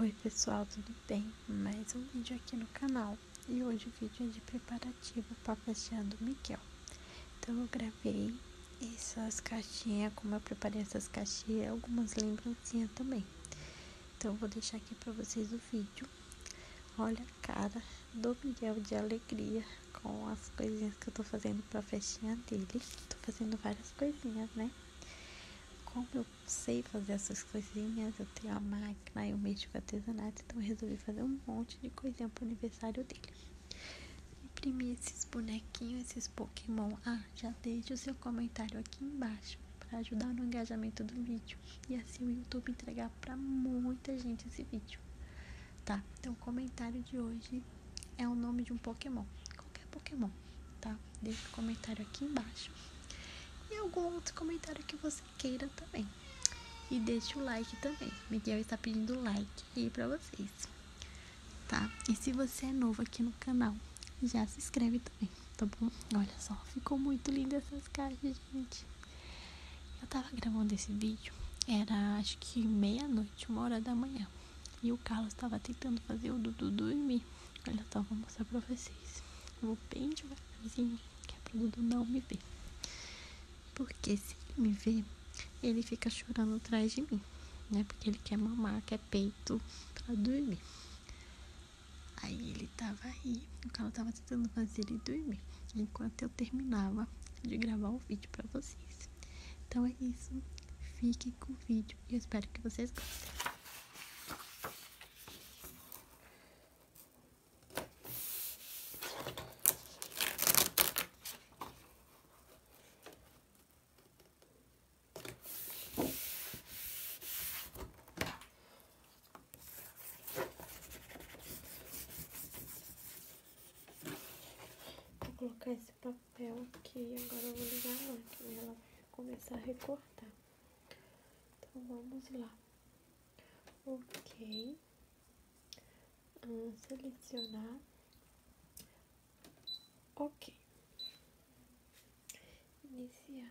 Oi pessoal, tudo bem? Mais um vídeo aqui no canal e hoje o vídeo é de preparativo para a festinha do Miguel. Então eu gravei essas caixinhas, como eu preparei essas caixinhas, algumas lembrancinhas também. Então eu vou deixar aqui para vocês o vídeo. Olha a cara do Miguel de alegria com as coisinhas que eu estou fazendo para a festinha dele. Estou fazendo várias coisinhas, né? Como sei fazer essas coisinhas, eu tenho a máquina, eu mexo com artesanato, então resolvi fazer um monte de coisinha pro aniversário dele. Imprimi esses bonequinhos, esses Pokémon. Ah, já deixa o seu comentário aqui embaixo para ajudar no engajamento do vídeo e assim o YouTube entregar para muita gente esse vídeo. Tá? Então o comentário de hoje é o nome de um Pokémon. Qualquer Pokémon. Tá? Deixe um comentário aqui embaixo. E algum outro comentário que você queira também. E deixe o like também. Miguel está pedindo like aí pra vocês. Tá? E se você é novo aqui no canal, já se inscreve também, tá bom? Olha só, ficou muito linda essas caixas, gente. Eu tava gravando esse vídeo, era acho que meia-noite, uma hora da manhã. E o Carlos estava tentando fazer o Dudu dormir. Olha só, vou mostrar pra vocês. vou bem devagarzinho, que é pro Dudu não me ver. Porque se ele me ver, ele fica chorando atrás de mim, né? Porque ele quer mamar, quer peito pra dormir. Aí ele tava aí, o cara tava tentando fazer ele dormir, enquanto eu terminava de gravar o vídeo pra vocês. Então é isso, fiquem com o vídeo e espero que vocês gostem. Vou colocar esse papel aqui, agora eu vou ligar a máquina, ela vai começar a recortar. Então, vamos lá. Ok. selecionar. Ok. Iniciar.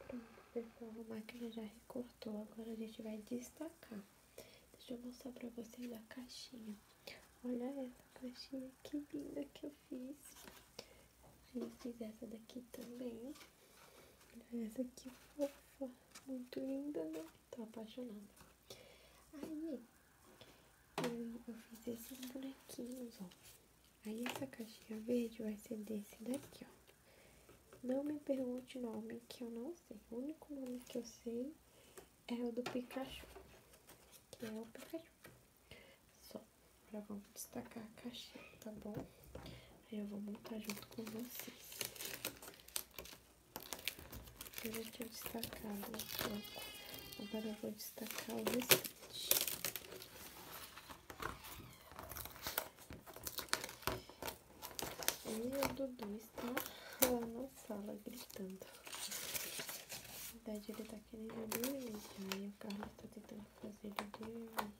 Pronto, pessoal, a máquina já recortou. Agora a gente vai destacar. Deixa eu mostrar pra vocês a caixinha. Olha essa caixinha que linda que eu fiz. Eu fiz essa daqui também. Olha essa que fofa. Muito linda, né? Tô apaixonada. Aí, eu, eu fiz esses bonequinhos, ó. Aí essa caixinha verde vai ser desse daqui, ó. Não me pergunte nome, que eu não sei. O único nome que eu sei é o do Pikachu. Que é o Pikachu. Só. agora vamos destacar a caixinha, tá bom? Aí eu vou montar junto com vocês. Eu já tinha destacado um né? pouco. Agora eu vou destacar o restante. E o Dudu está lá na sala gritando. Na verdade, ele tá querendo dormir E o Carlos tá tentando fazer ele dormir.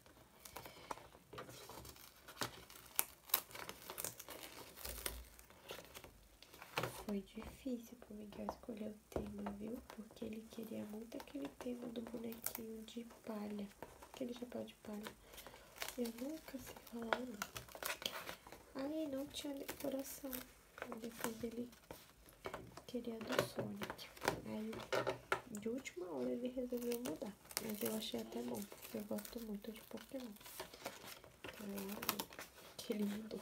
Foi difícil para o Miguel escolher o tema, viu? Porque ele queria muito aquele tema do bonequinho de palha. Aquele chapéu de palha. Eu nunca sei falar o Aí não tinha decoração. Depois ele queria do Sonic. Aí de última hora ele resolveu mudar. Mas eu achei até bom, porque eu gosto muito de Pokémon. ele é mudou.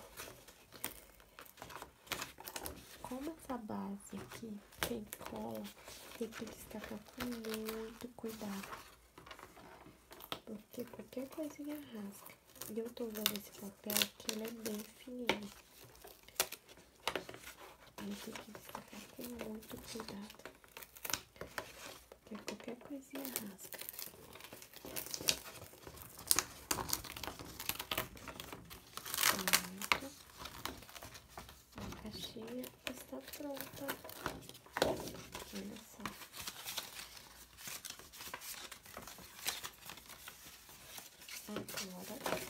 Como essa base aqui tem cola, tem que destacar com muito cuidado. Porque qualquer coisinha rasga. E eu tô usando esse papel aqui, ele é bem fininho. Aí tem que destacar com muito cuidado. Porque qualquer coisinha rasga. Pronto. A caixinha está pronta. Olha só. Agora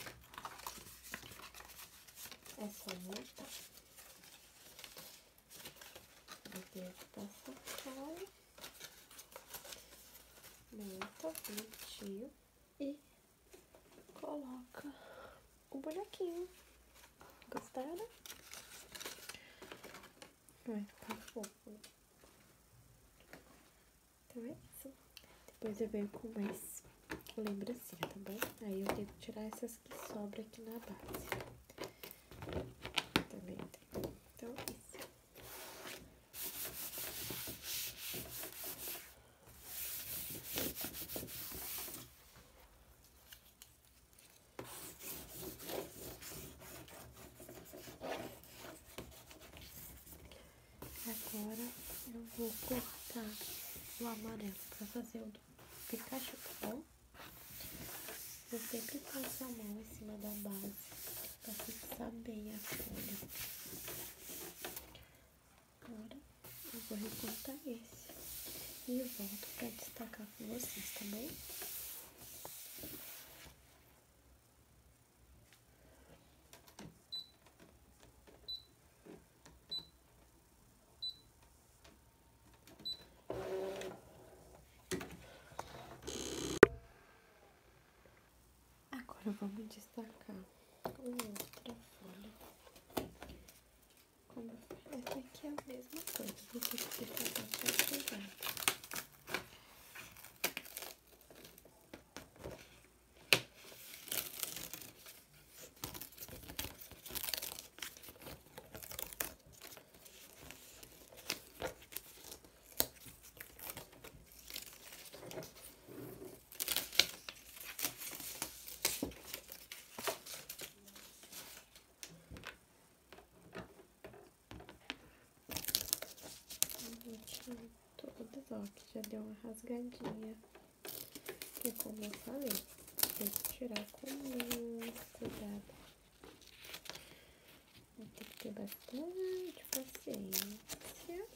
essa só montar. Dentro dessa sacola. Monta bonitinho e coloca o bonequinho. Gostaram? Vai ficar tá fofo. Então é isso. Depois eu venho com mais lembrancinha, tá bom? Aí eu tenho que tirar essas que sobram aqui na base. Também tem. Então é isso. Agora eu vou cortar o amarelo para fazer o do Pikachu, tá sempre passo a mão em cima da base para fixar bem a folha. Agora eu vou recortar esse e eu volto para destacar com vocês, tá bom? Agora vamos destacar outra folha. Como essa aqui é a mesma coisa, vou ter que separar pra pegar todas, só que já deu uma rasgadinha. E como eu falei, tem que tirar com muito cuidado. Tem que ter bastante paciência.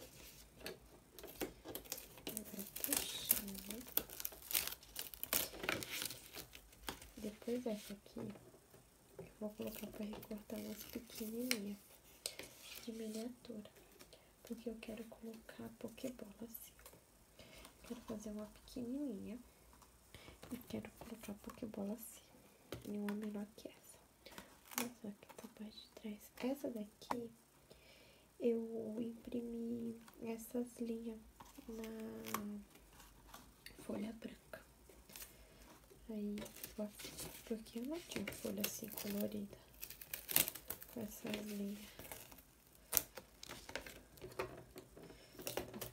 Depois dessa aqui, eu vou colocar para recortar umas pequenininhas de miniatura. Porque eu quero colocar pokebola assim. Quero fazer uma pequenininha e quero colocar pokebola assim. E uma menor que essa. Olha só aqui da parte de trás. Essa daqui eu imprimi essas linhas na folha branca. Aí, ó, porque eu não tinha folha assim colorida essa linha linhas.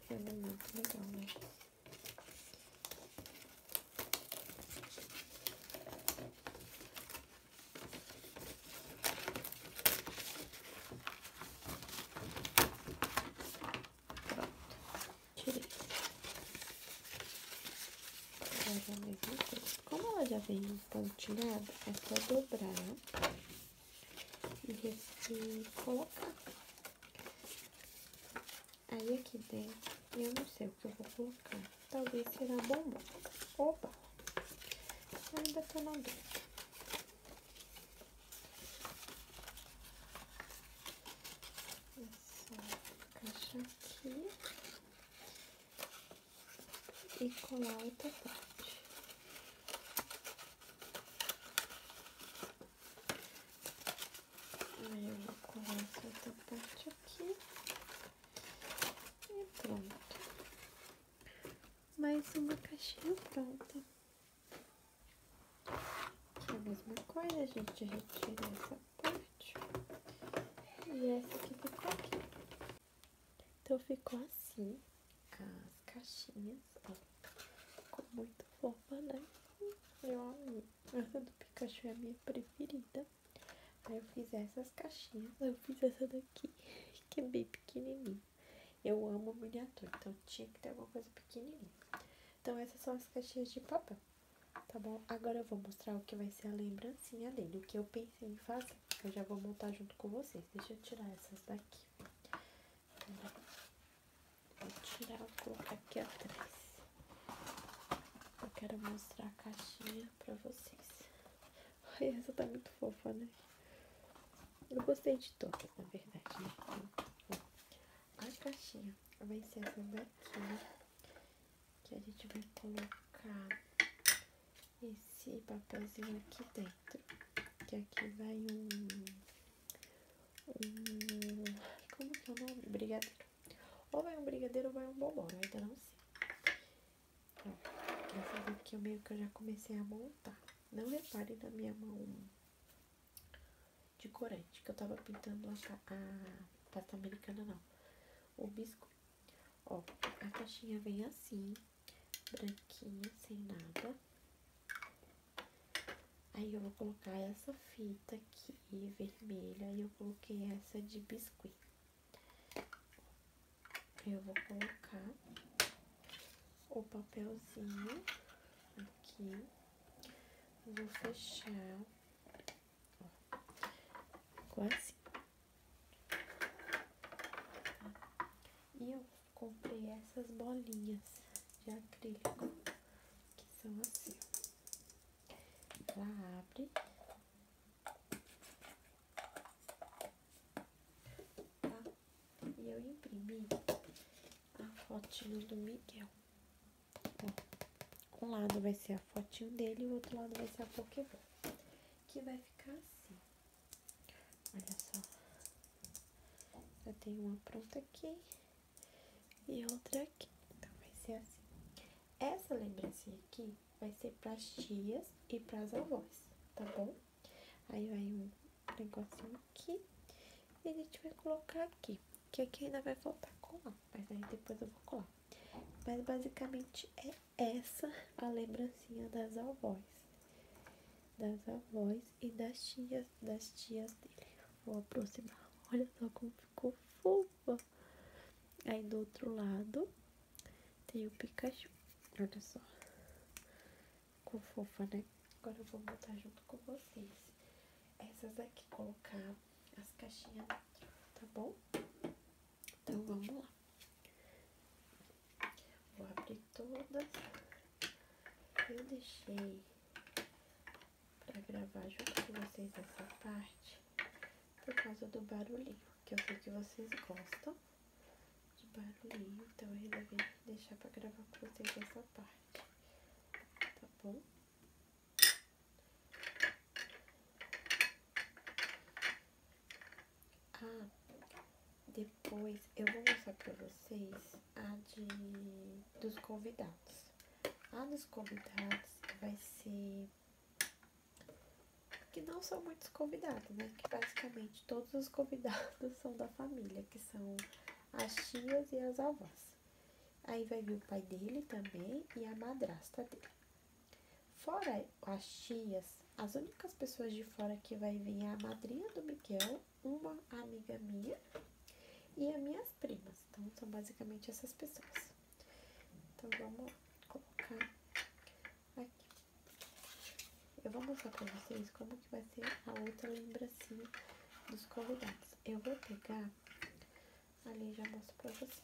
É muito legal, né? Pronto, tirei. Agora Como ela já veio pontilhada, é só dobrar e, e colocar. Aí aqui dentro, eu não sei o que eu vou colocar talvez será bombom. Opa! Ainda tô na vou Essa caixa aqui. E colar outra parte. Aí eu vou colar essa outra parte aqui. E pronto mais uma caixinha pronta. É a mesma coisa, a gente retira essa parte. E essa aqui ficou aqui. Então ficou assim as caixinhas, ó. Ficou muito fofa, né? Eu amei. Essa do Pikachu é a minha preferida. Aí eu fiz essas caixinhas, eu fiz essa daqui que é bem pequenininho. Eu amo miniatura, então tinha que ter alguma coisa pequenininha. Então essas são as caixinhas de papel, tá bom? Agora eu vou mostrar o que vai ser a lembrancinha dele, o que eu pensei em fazer. Eu já vou montar junto com vocês. Deixa eu tirar essas daqui. Vou tirar, vou colocar aqui atrás. Eu quero mostrar a caixinha olhar pra vocês. essa tá muito fofa, né? Eu gostei de todas, na verdade, né? A caixinha vai ser essa daqui, que a gente vai colocar esse papelzinho aqui dentro, que aqui vai um, um, como que é o nome? Brigadeiro. Ou vai um brigadeiro ou vai um bombom, eu ainda não sei. Ó, essa daqui eu meio que eu já comecei a montar. Não reparem na minha mão de corante, que eu tava pintando a, a pasta americana, não. O biscoito. Ó, a caixinha vem assim, branquinha, sem nada. Aí eu vou colocar essa fita aqui, vermelha, e eu coloquei essa de biscuit. Eu vou colocar o papelzinho aqui. Vou fechar ó, quase. Tá? E eu comprei essas bolinhas de acrílico, que são assim. Ela abre Tá? E eu imprimi a fotinho do Miguel. um lado vai ser a fotinho dele e o outro lado vai ser a Pokéball. Que vai ficar assim. Olha só. Eu tenho uma pronta aqui e outra aqui. Então vai ser assim. Essa lembrancinha aqui vai ser pras tias e pras avós, tá bom? Aí vai um negocinho aqui. E a gente vai colocar aqui. Que aqui ainda vai faltar colar. Mas aí depois eu vou colar. Mas basicamente é essa a lembrancinha das avós. Das avós e das tias, das tias dele. Vou aproximar. Olha só como ficou fofa. Aí do outro lado tem o Pikachu. Olha só. Ficou fofa, né? Agora eu vou botar junto com vocês. Essas aqui, colocar as caixinhas dentro, tá bom? Então vamos lá. Vou abrir todas. Eu deixei pra gravar junto com vocês essa parte por causa do barulhinho, que eu sei que vocês gostam de barulhinho, então eu resolvi deixar pra gravar com vocês essa parte, tá bom? Ah, depois eu vou mostrar pra vocês a de dos convidados. A dos convidados vai ser que não são muitos convidados, né? Que basicamente todos os convidados são da família, que são as tias e as avós. Aí vai vir o pai dele também e a madrasta dele. Fora as tias, as únicas pessoas de fora que vai vir é a madrinha do Miguel, uma amiga minha e as minhas primas. Então, são basicamente essas pessoas. Então, vamos colocar Aqui. Eu vou mostrar pra vocês como que vai ser a outra lembrancinha dos convidados. Eu vou pegar... Ali já mostro pra vocês.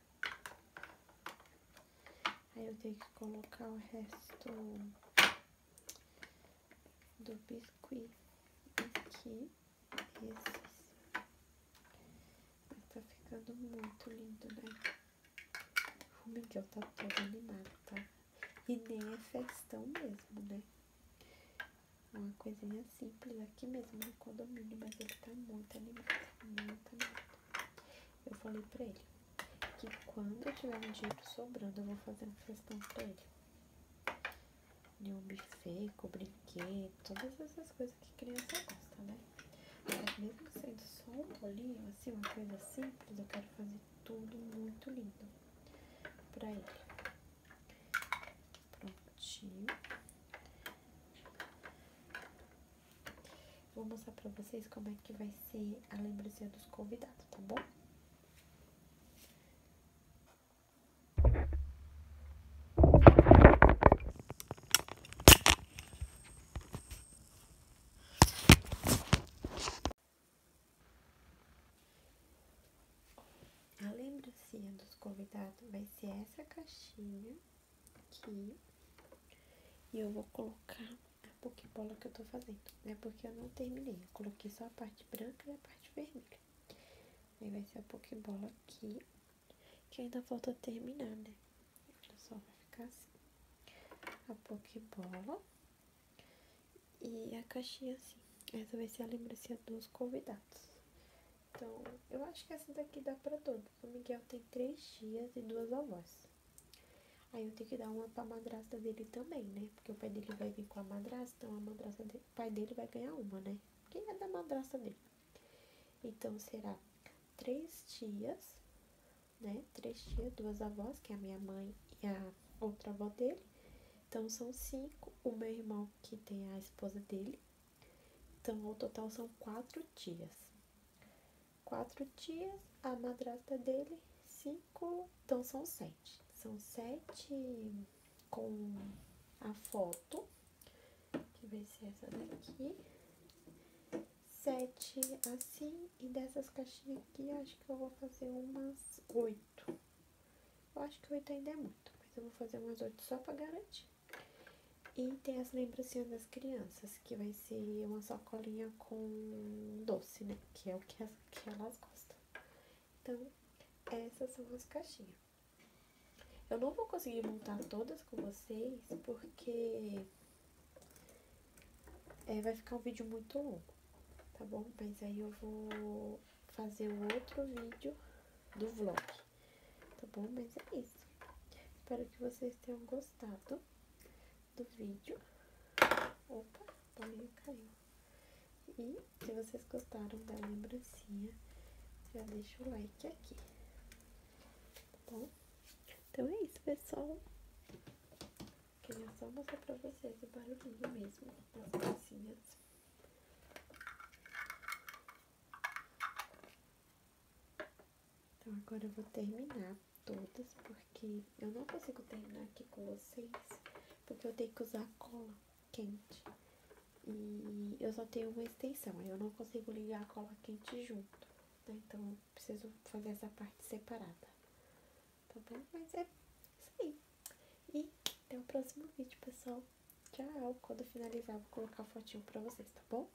Aí eu tenho que colocar o resto do biscuit aqui, esses. tá ficando muito lindo, né? O Miguel tá todo animado, tá? E nem é festão mesmo, né? Uma coisinha simples aqui mesmo no condomínio, mas ele tá muito animado, muito animado. Eu falei pra ele que quando eu tiver um dinheiro sobrando, eu vou fazer um festão pra ele. De um buffet, com todas essas coisas que criança gosta, né? Mas mesmo sendo só um bolinho, assim, uma coisa simples, eu quero fazer tudo muito lindo pra ele. Prontinho. Vou mostrar pra vocês como é que vai ser a lembrancinha dos convidados, tá bom? A lembrancinha dos convidados vai ser essa caixinha aqui. E eu vou colocar a pokebola que eu tô fazendo, né? Porque eu não terminei. Eu coloquei só a parte branca e a parte vermelha. Aí vai ser a pokebola aqui. Que ainda falta terminar, né? Olha só, vai ficar assim. A pokebola. E a caixinha assim. Essa vai ser a lembrança dos convidados. Então, eu acho que essa daqui dá pra todos. O Miguel tem três dias e duas avós. Aí eu tenho que dar uma pra madrasta dele também, né? Porque o pai dele vai vir com a madrasta, então a madrasta o pai dele vai ganhar uma, né? Porque é da madrasta dele. Então será três tias, né? Três tias, duas avós, que é a minha mãe e a outra avó dele. Então são cinco. O meu irmão que tem a esposa dele. Então, o total são quatro tias quatro tias, a madrasta dele, cinco. Então são sete. São sete com a foto. que vai ser essa daqui. Sete assim. E dessas caixinhas aqui, acho que eu vou fazer umas oito. Eu acho que oito ainda é muito, mas eu vou fazer umas oito só para garantir. E tem as lembrancinhas das crianças, que vai ser uma sacolinha com doce, né? Que é o que, que elas gostam. Então, essas são as caixinhas. Eu não vou conseguir montar todas com vocês, porque é, vai ficar um vídeo muito longo, tá bom? Mas aí eu vou fazer um outro vídeo do vlog, tá bom? Mas é isso. Espero que vocês tenham gostado gostado do vídeo. Opa, o caiu. E se vocês gostaram da lembrancinha, já deixa o like aqui. Tá bom? Então é isso, pessoal. Queria só mostrar pra vocês o barulhinho mesmo das pecinhas. Então agora eu vou terminar todas, porque eu não consigo terminar aqui com vocês, porque eu tenho que usar cola quente. E eu só tenho uma extensão, aí eu não consigo ligar a cola quente junto, né? Então, eu preciso fazer essa parte separada, tá bom? Mas é isso aí. E até o próximo vídeo, pessoal. Tchau! Quando eu finalizar, vou colocar a fotinho pra vocês, tá bom?